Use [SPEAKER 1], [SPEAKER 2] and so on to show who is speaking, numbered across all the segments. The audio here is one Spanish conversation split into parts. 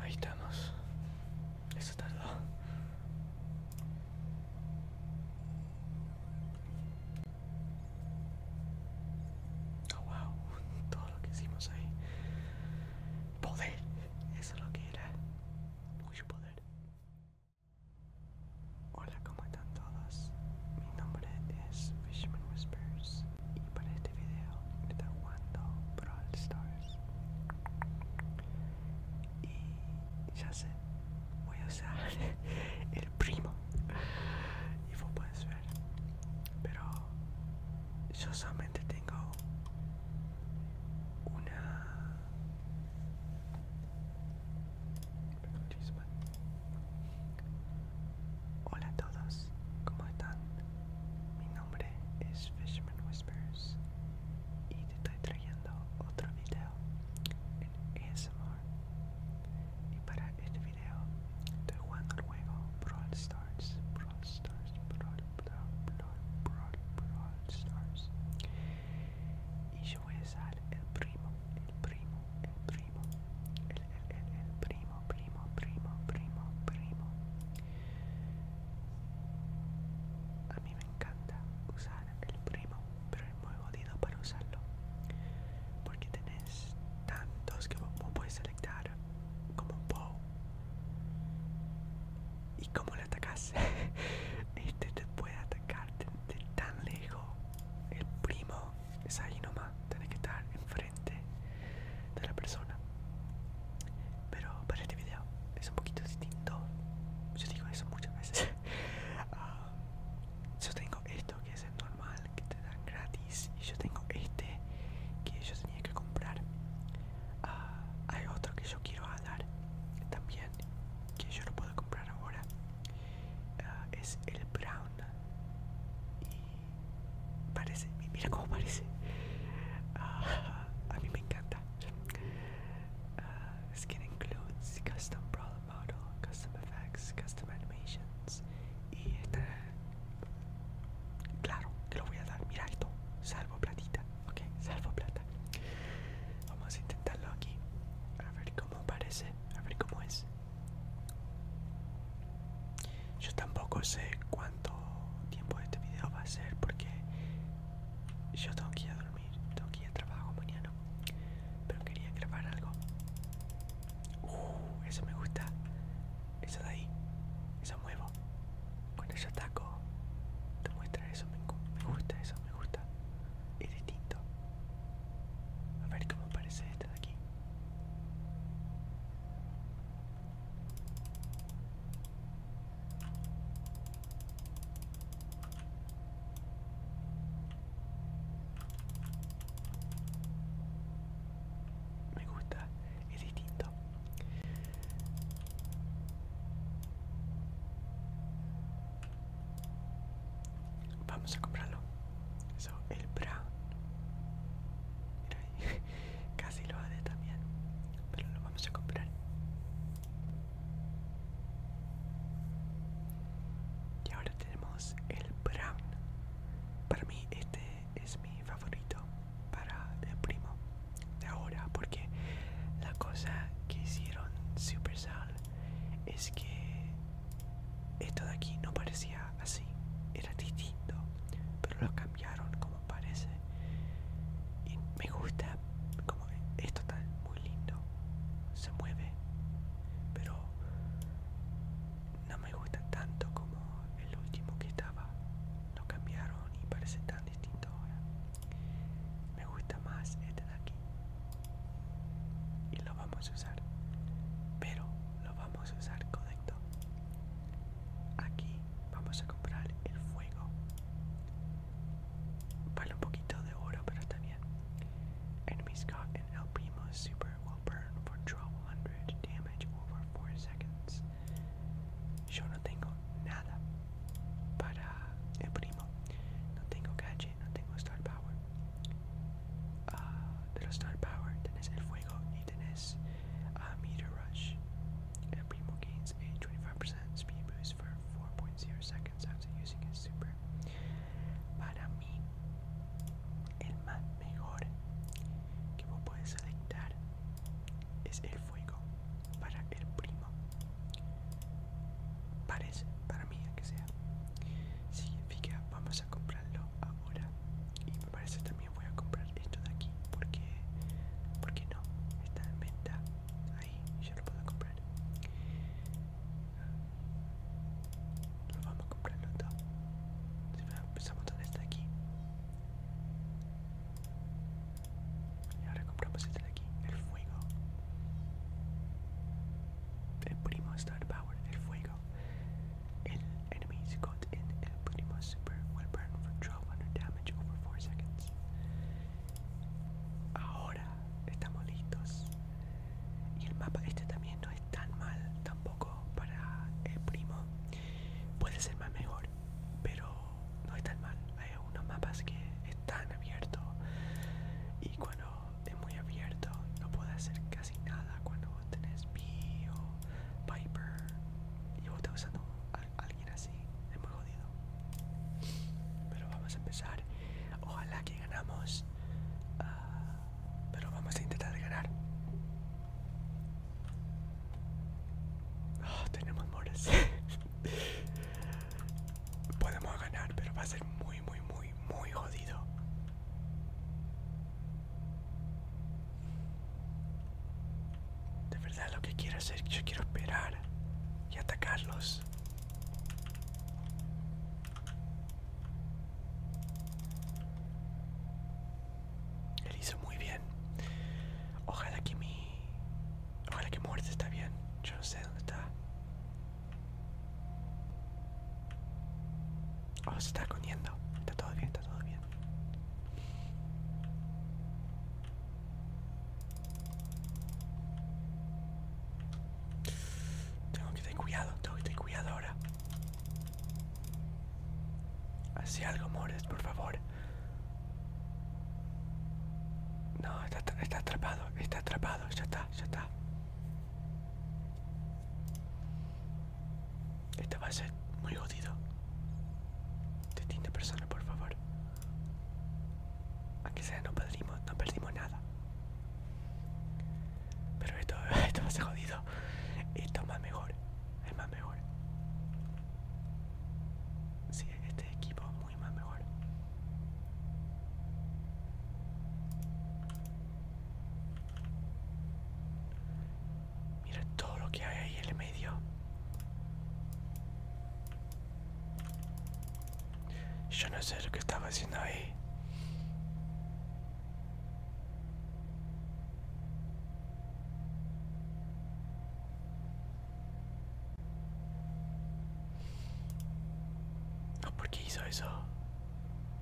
[SPEAKER 1] Ahí estamos. Eso tardó. Oh, wow. Todo lo que hicimos ahí. Poder. Eso es lo que era. Mucho poder. Hola, ¿cómo están todos? Mi nombre es fisherman Whispers y para este video está jugando Brawl Stars y ya sé voy a usar el primo y vos puedes ver pero yo solamente tengo una Hola a todos, ¿cómo están? Mi nombre es Fisherman Whispers y te estoy trayendo otro video en ASMR. Y para este video estoy jugando el juego Brawl Stars, Brawl Stars, Brawl, Brawl, Brawl, Brawl, Brawl Stars. Y yo voy a usar el primo, el primo, el primo, el, primo, primo, primo, primo, primo. A mí me encanta usar el primo, pero es muy jodido para usarlo. Porque tenés tantos que vos puedes seleccionar como bow. Y como le atacas, este te puede atacar de, tan lejos. El primo es ahí nomás, tenés que estar enfrente de la persona. Pero para este video es un poquito distinto. Yo digo eso muchas veces. Ah, yo tengo esto que es el normal, que te dan gratis. Y yo tengo este que yo tenía que comprar. Ah, hay otro que yo quiero dar también, que yo no puedo comprar ahora. Ah, es el brown. Parece, mira cómo parece. Ah, a mí me encanta. Es ah, skin includes custom problem model, custom effects, custom animations. Y este, claro, te lo voy a dar. Mira esto, salvo platita, ok, salvo plata. Vamos a intentarlo aquí, a ver cómo parece, a ver cómo es. Yo tampoco sé cuánto tiempo este video va a ser porque yo tengo que ir a dormir, tengo que ir a trabajo mañana. Pero quería grabar algo. Uh, eso me gusta. Eso de ahí. Eso muevo. Cuando yo ataco, te muestra eso. Me, me gusta eso, me gusta. Es distinto. A ver cómo parece esta de aquí. Me gusta, es distinto. Vamos a comprarlo. Eso, el brown. Mira ahí. Casi lo haré también, pero lo vamos a comprar. Y ahora tenemos el brown. Para mí este es mi favorito para el primo de ahora porque la cosa que hicieron Supercell es que esto de aquí no parecía así, era distinto, pero lo cambiaron como parece. Y me gusta, como esto está muy lindo, se mueve, pero no me gusta tanto como el último que estaba. Lo cambiaron y parece tan distinto ahora. Me gusta más este de aquí. Y lo vamos a usar. Pero lo vamos a usar con esto. Aquí vamos a comprar el fuego. Vale un poquito de oro, pero está bien. Enemies caught El Primo super will burn for 1200 damage over 4 seconds. Yo no tengo nada para el primo. No tengo gadget, no tengo star power. Uh, ah, de star power tenés el fuego y tenés uh, meter rush. Uh, gains a 25% speed boost for 4.0 seconds after using his super. Para mí, el más mejor que vos podés selectar es el fuego para el primo. Parece, para mí, que sea. Significa, vamos comprarlo ahora y me parece también voy a comprar esto de aquí porque porque no está en venta ahí ya lo puedo comprar lo vamos a comprar los dos empezamos con este de aquí y ahora compramos este de aquí el fuego el primo Star Power el fuego el enemies got in and primo super well burn for 1200 damage over 4 seconds. Ahora estamos listos. Y el mapa este también no es tan mal tampoco para el primo. Puede ser más mejor, pero no es tan mal. Hay unos mapas que están abiertos y cuando es muy abierto no puede hacer casi nada cuando tenés mío, Piper, y vos usando a alguien así, es muy jodido. Pero vamos a empezar. Ojalá que ganamos. Ah, pero vamos a intentar ganar. Ah, tenemos moras. Podemos ganar, pero va a ser muy, muy, muy, muy jodido. De verdad lo que quiero hacer, yo quiero esperar y atacarlos. Él hizo muy bien. Ojalá que mi... Ojalá que muerte está bien. Yo no sé dónde está. Oh, se está comiendo. Está todo bien, está todo bien. Tengo que tener cuidado, tengo que tener cuidado ahora. Así algo, Mores, por favor. No, está, está atrapado, está atrapado, ya está, ya está. Esto va a ser muy jodido. Distinta este persona, por favor. Aunque sea, no perdimos, no perdimos nada. Pero esto, esto va a ser jodido. Esto es más mejor. Es más mejor. Sí, este equipo es muy más mejor. Mira todo lo que hay ahí en el medio. Yo no sé lo que estaba haciendo ahí. No, ¿por hizo eso?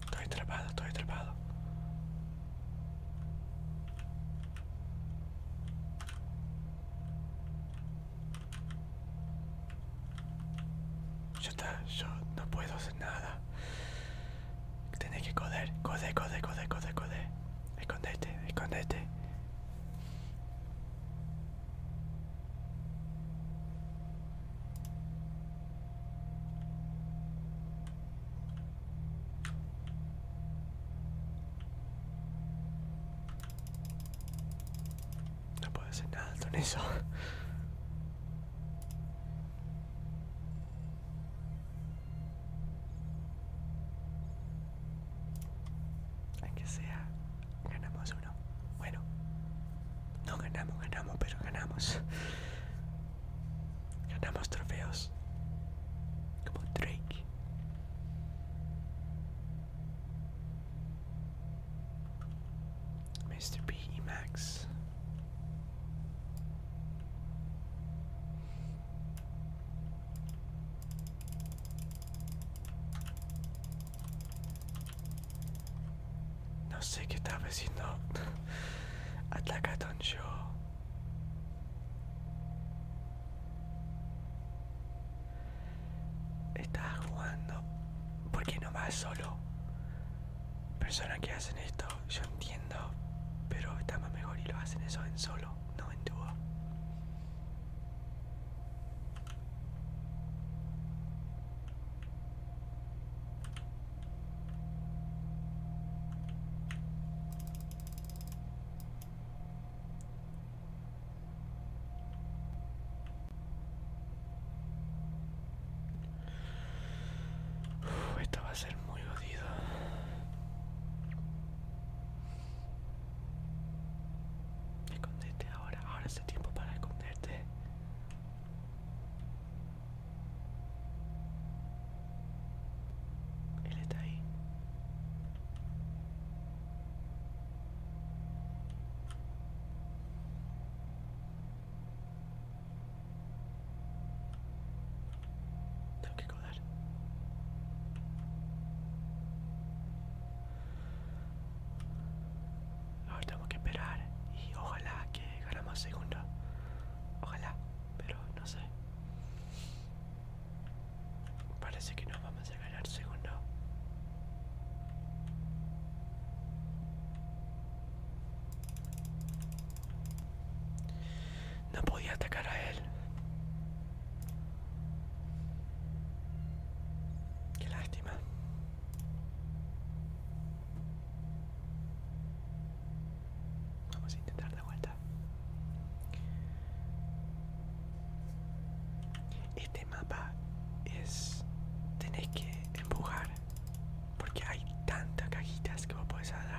[SPEAKER 1] Estoy atrapado, estoy atrapado. yo no puedo hacer nada. tiene que coder, coder, coder, coder, coder. Escondete, escondete. No puedo hacer nada con eso que sea, ganamos uno. Bueno, no ganamos, ganamos, pero ganamos. Ganamos trofeos. Como Drake. Mr. P Max. No sé qué estaba diciendo con yo. Estaba jugando. ¿Por qué no vas solo? Personas que hacen esto, yo entiendo, pero está más mejor y lo hacen eso en solo no entiendo esto va a ser muy jodido. Escondete ahora, ahora es el tiempo para esconderte. Él está ahí. Ahora tengo que esperar y ojalá que ganamos segundo. Ojalá, pero no sé. Parece que no vamos a ganar segundo. No podía atacar a él. Qué lástima. Vamos a intentar dar vuelta. Este mapa es... Tenés que empujar. Porque hay tantas cajitas que vos podés dar.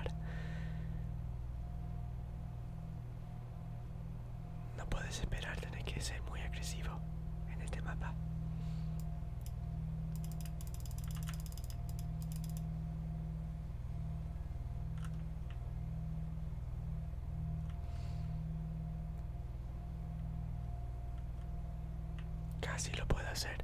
[SPEAKER 1] No puedes esperar, tener que ser muy agresivo en este mapa. Casi lo puedo hacer.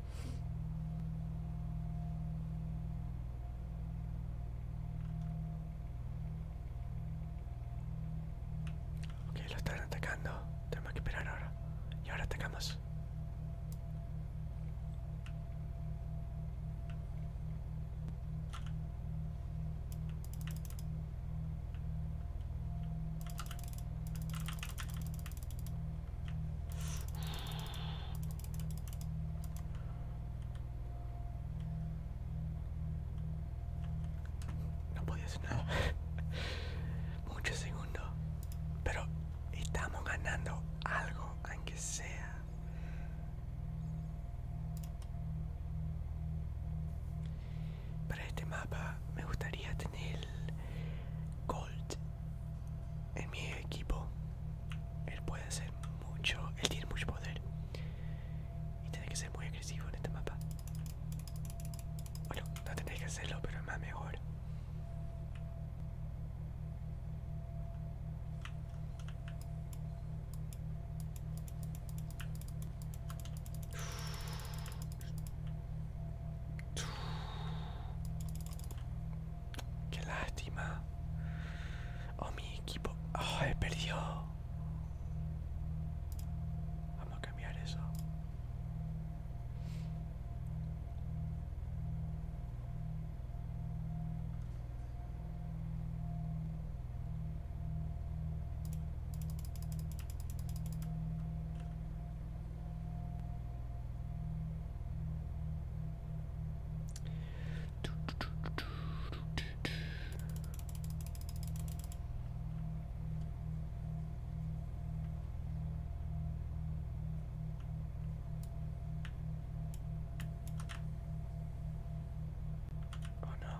[SPEAKER 1] Ok, lo están atacando. Tenemos que esperar ahora. Y ahora atacamos. No podía hacer nada. Muchos segundos. Pero estamos ganando algo, aunque sea. Para este mapa me gustaría tener Gold en mi equipo. Él puede hacer mucho, él tiene mucho poder. Y tiene que ser muy agresivo en este mapa. Bueno, no tendré que hacerlo, pero es más mejor. Qué lástima. Oh, mi equipo. Oh, he perdido. Vamos a cambiar eso. Oh no.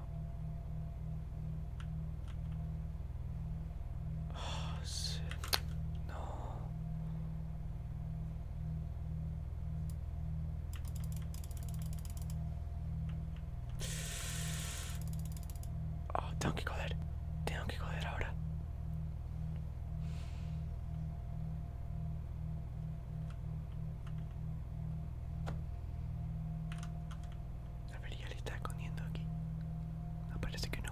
[SPEAKER 1] Oh shit. No. Oh, tengo que joder. Tengo que joder ahora. A ver, ya le está escondiendo aquí. No, parece que no.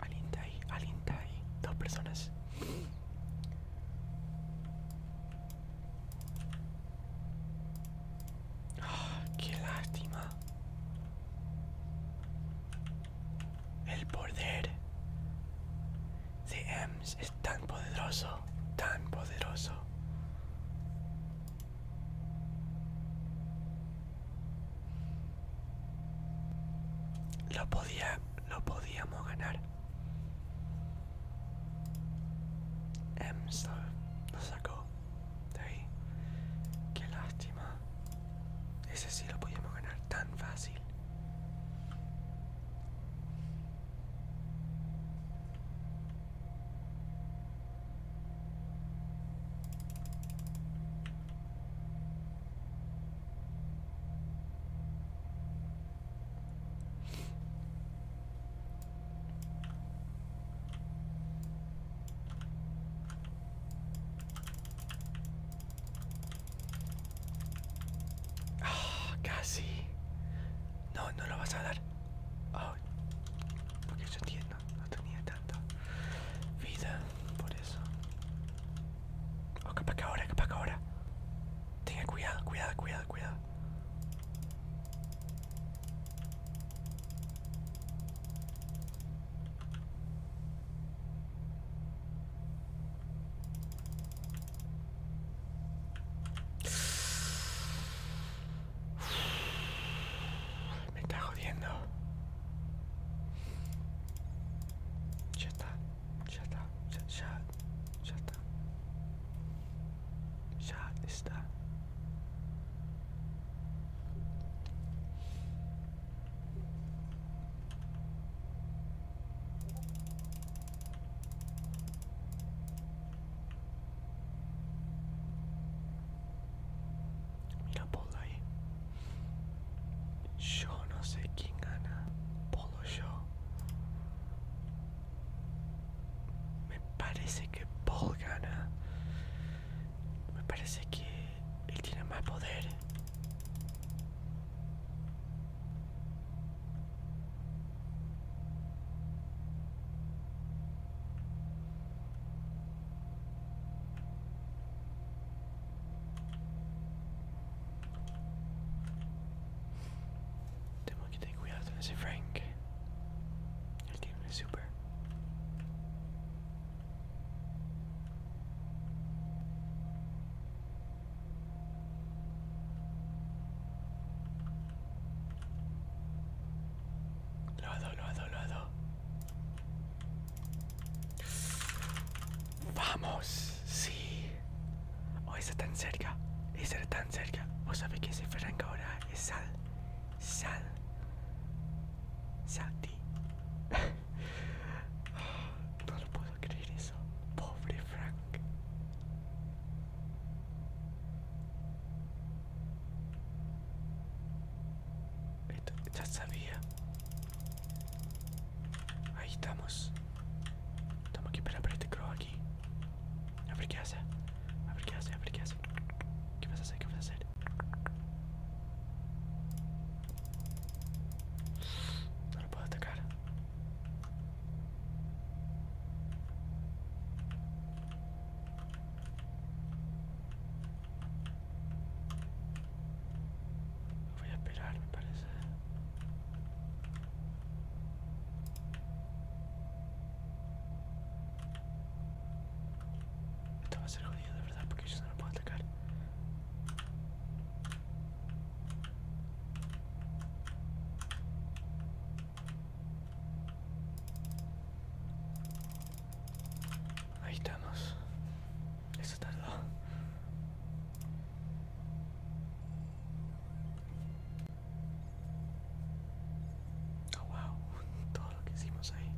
[SPEAKER 1] Alguien está Dos personas. Ah, ¡Qué lástima! El poder de Ems es tan poderoso, tan poderoso. Lo podía, lo podíamos ganar. Emstar nos sacó de ahí. Qué lástima. Ese sí lo podíamos ganar tan fácil. Ah, casi. No, no lo vas a dar. porque yo entiendo no, tenía tanto vida por eso. O oh, que ahora, que ahora. Tenga cuidado, cuidado, cuidado, cuidado. Me está jodiendo. Ya está, ya está, ya, ya, ya está. Ya está. Mira Polo ahí. Yo no sé quién gana. Polo yo. Me parece que Paul gana. Me parece que él tiene más poder. Tengo que tener cuidado ese Frank. El tiene es super. Lo lado, Vamos, sí. Oh, está tan cerca. Está tan cerca. Vos sabés que ese Frank ahora es sal. Sal. Salti. Ah, no lo puedo creer eso. Pobre Frank ya sabía. Ahí estamos. Estamos aquí para este crow aquí. A ver qué hace. A ver qué hace, a qué hace. ¿Qué vas a hacer? ¿Qué vas a hacer? No lo puedo atacar. Voy a esperar, me parece. Esto va a ser jodido de verdad porque yo no lo puedo atacar. Ahí estamos. Eso tardó. Oh, wow. Todo lo que hicimos ahí.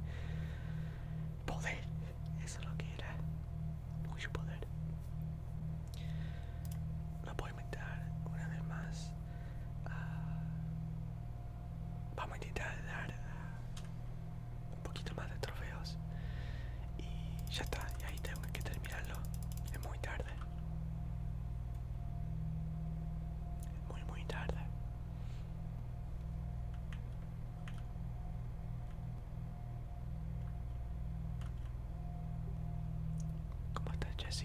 [SPEAKER 1] Poder. Eso es lo que era. Mucho poder. Lo voy a inventar una vez más vamos a intentar dar eh, un poquito más de trofeos y ya está y ahí tengo que terminarlo es muy tarde muy muy tarde ¿Cómo Jesse?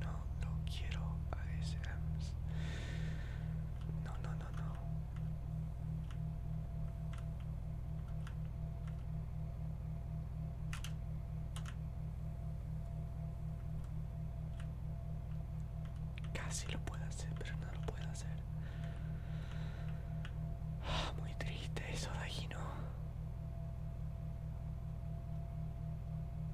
[SPEAKER 1] no lo quiero ASMs. No, no, no, no. Casi lo puedo hacer, pero no lo puedo hacer. Ah, muy triste eso de ¿no?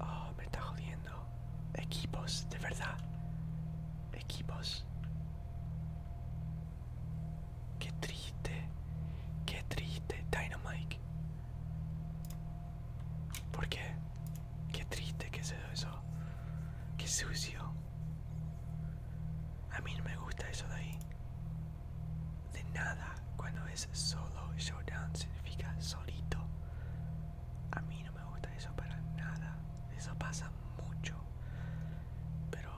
[SPEAKER 1] Oh, me está jodiendo. Equipos, de verdad. Equipos. Qué triste. Qué triste. Dynamite. ¿Por qué? Qué triste que es eso. Qué sucio. A mí no me gusta eso de ahí de nada cuando es solo showdown significa solito. A mí no me gusta eso para nada. Eso pasa mucho. Pero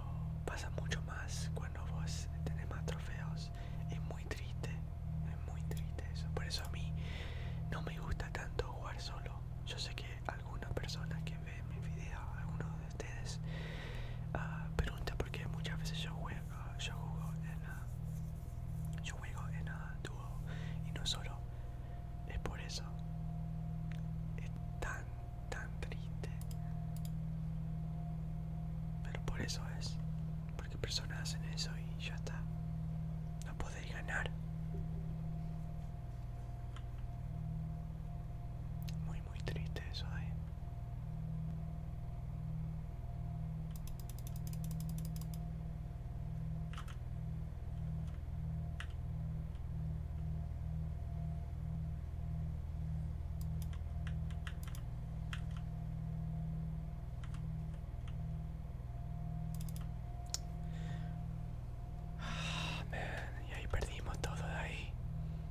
[SPEAKER 1] pasa mucho más cuando vos tenés más trofeos. Es muy triste. Es muy triste eso. Por eso a mí no me gusta tanto jugar solo. Yo sé que algunas personas que ven mis videos, algunos ustedes preguntan ah, pregunta porque muchas veces yo juego, yo juego en yo juego en a dúo y no solo es por eso es tan tan triste pero por eso es porque personas hacen eso y ya está no podéis ganar muy muy triste eso ahí ¿eh? Ah, y ahí perdimos todo de ahí.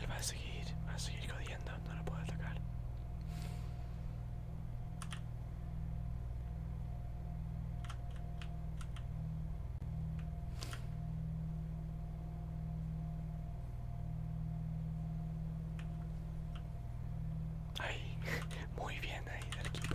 [SPEAKER 1] Él va a seguir, va a seguir codiendo. no lo puedo atacar. Ahí, muy bien ahí el equipo.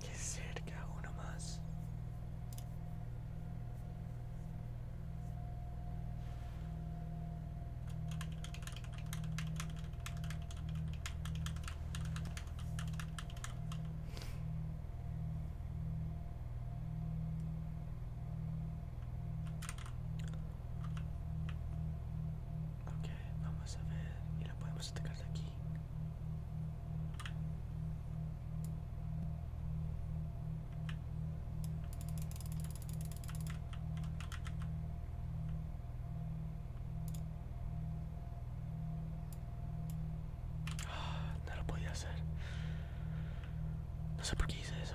[SPEAKER 1] Qué cerca, uno más. Ok, vamos a ver. Y la podemos atacar de aquí. Ah, no lo podía hacer. No sé por qué hice eso.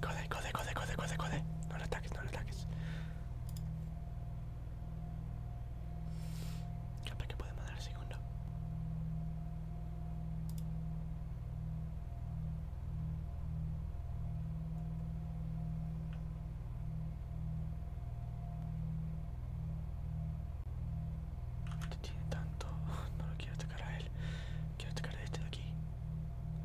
[SPEAKER 1] Code, code, code, code, code, code. No le ataques, no le ataques. Capaz que puede mandar el segundo. Este tiene tanto. No lo quiero atacar a él. Quiero atacar a este de aquí.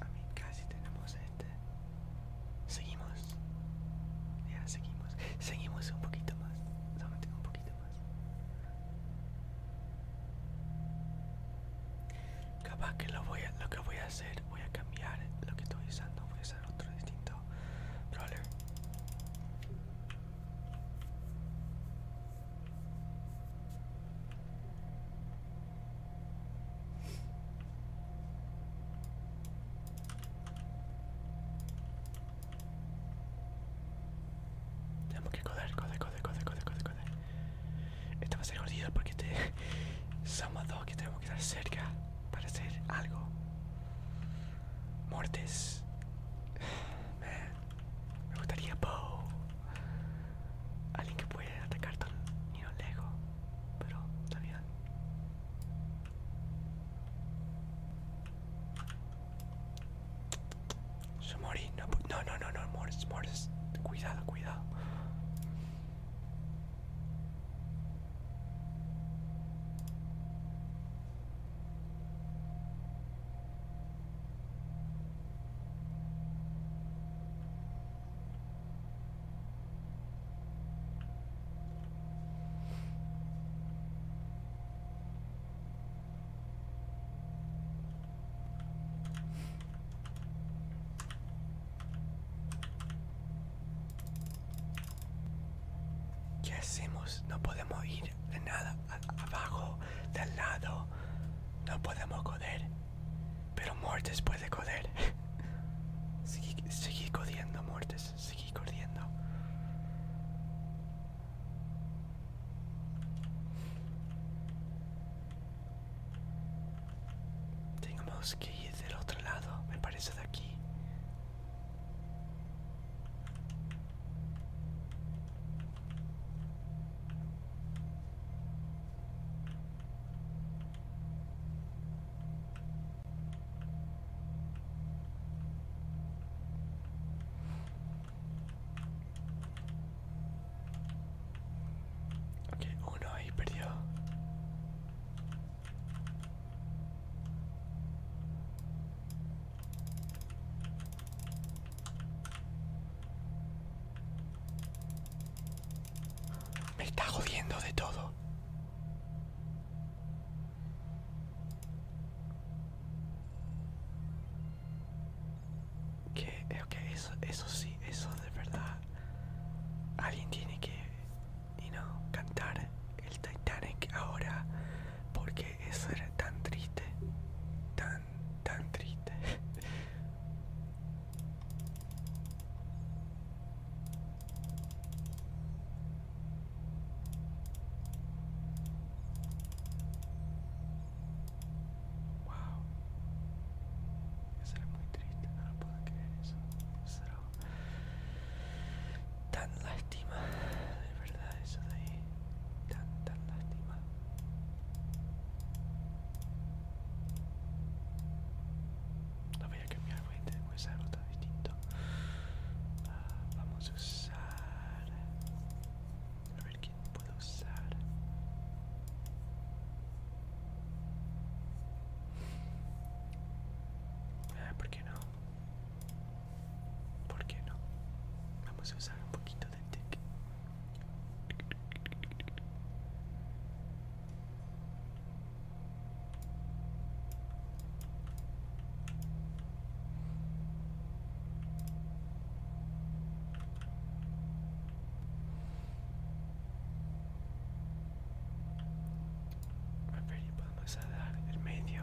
[SPEAKER 1] A casi tenemos este. Seguimos. Ya, seguimos. Seguimos un poquito más. un poquito más. Capaz que lo voy a, lo que voy a hacer, voy a cambiar lo que estoy usando. Voy a usar otro distinto brawler. Tenemos que coder, coder, coder, coder, coder, coder, Esto va a ser horrible porque este somos dos que tenemos que estar cerca para hacer algo. Muertes Me gustaría bow Alguien que puede atacar tan ni lejos. Pero está bien. No, no, no, no, no. Cuidado, cuidado. ¿Qué hacemos? No podemos ir. De nada abajo del lado no podemos coder pero muertes puede coder seguí, codiendo muertes, seguí codiendo tenemos que ir del otro lado me parece de aquí Ok, uno ahí perdió. Me está jodiendo de todo. eso, eso sí, eso de verdad. Alguien tiene que, you cantar el Titanic ahora porque eso era tan triste, tan, tan triste. Wow, eso era muy triste, no lo puedo creer eso tan lástima, de verdad eso de ahí, tan, tan lástima. No voy a cambiar, voy a usar tan distinto. Ah, vamos a usar... A ver quién puedo usar. Ah, ¿por qué no? ¿Por qué no? Vamos a usar un poquito de tic. A ver, y dar el medio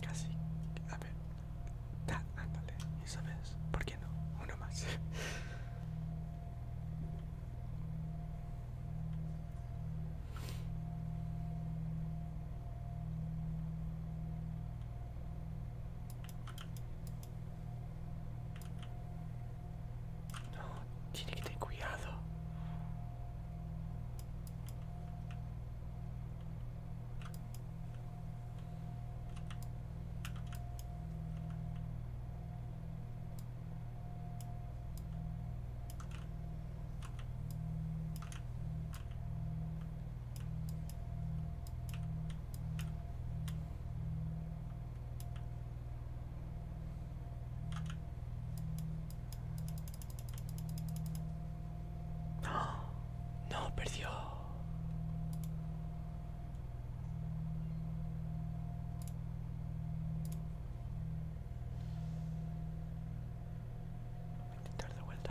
[SPEAKER 1] Casi. A ver. Da, ¿Y sabes? ¿Por qué no? Uno más. No, tiene que cuidado. No, no perdió. Voy a intentar de vuelta.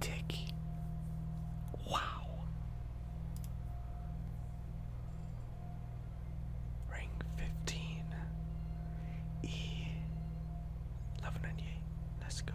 [SPEAKER 1] Tick. Wow. Ring fifteen. E. Eleven ninety eight. Let's go.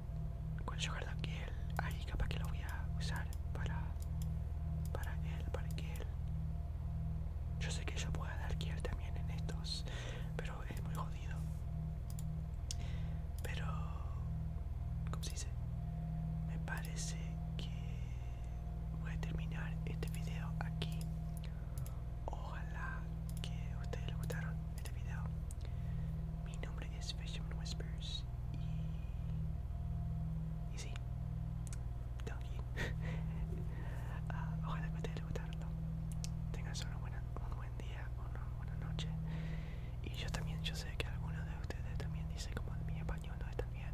[SPEAKER 1] con aquí él ahí capaz que lo voy a usar para para él para que él yo sé que yo pueda dar kill también en estos pero es muy jodido pero como se dice me parece que voy a terminar este video aquí ojalá que ustedes les gustaron este video mi nombre es Fisherman Whispers y. y sí. Ah, ojalá que te haya gustado. Tengas un buen día, una buena noche. Y yo también, yo sé que algunos de ustedes también dicen como mi español no es tan bien.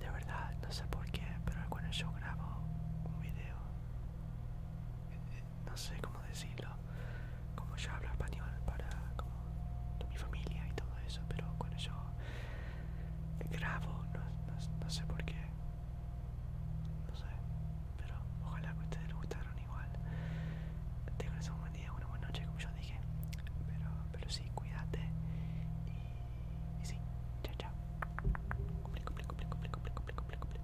[SPEAKER 1] De verdad, no sé por qué, pero cuando yo grabo un video, eh, eh, no sé cómo decirlo, como yo hablo español para como mi familia y todo eso, pero cuando yo grabo, no, no, sé por qué, no sé, pero ojalá que ustedes les gustaron igual. Tengo un buen día, una buena noche, como yo dije, pero, pero sí, cuídate y, sí, chao, chao. cumple, cumple, cumple, cumple, cumple, cumple, cumple.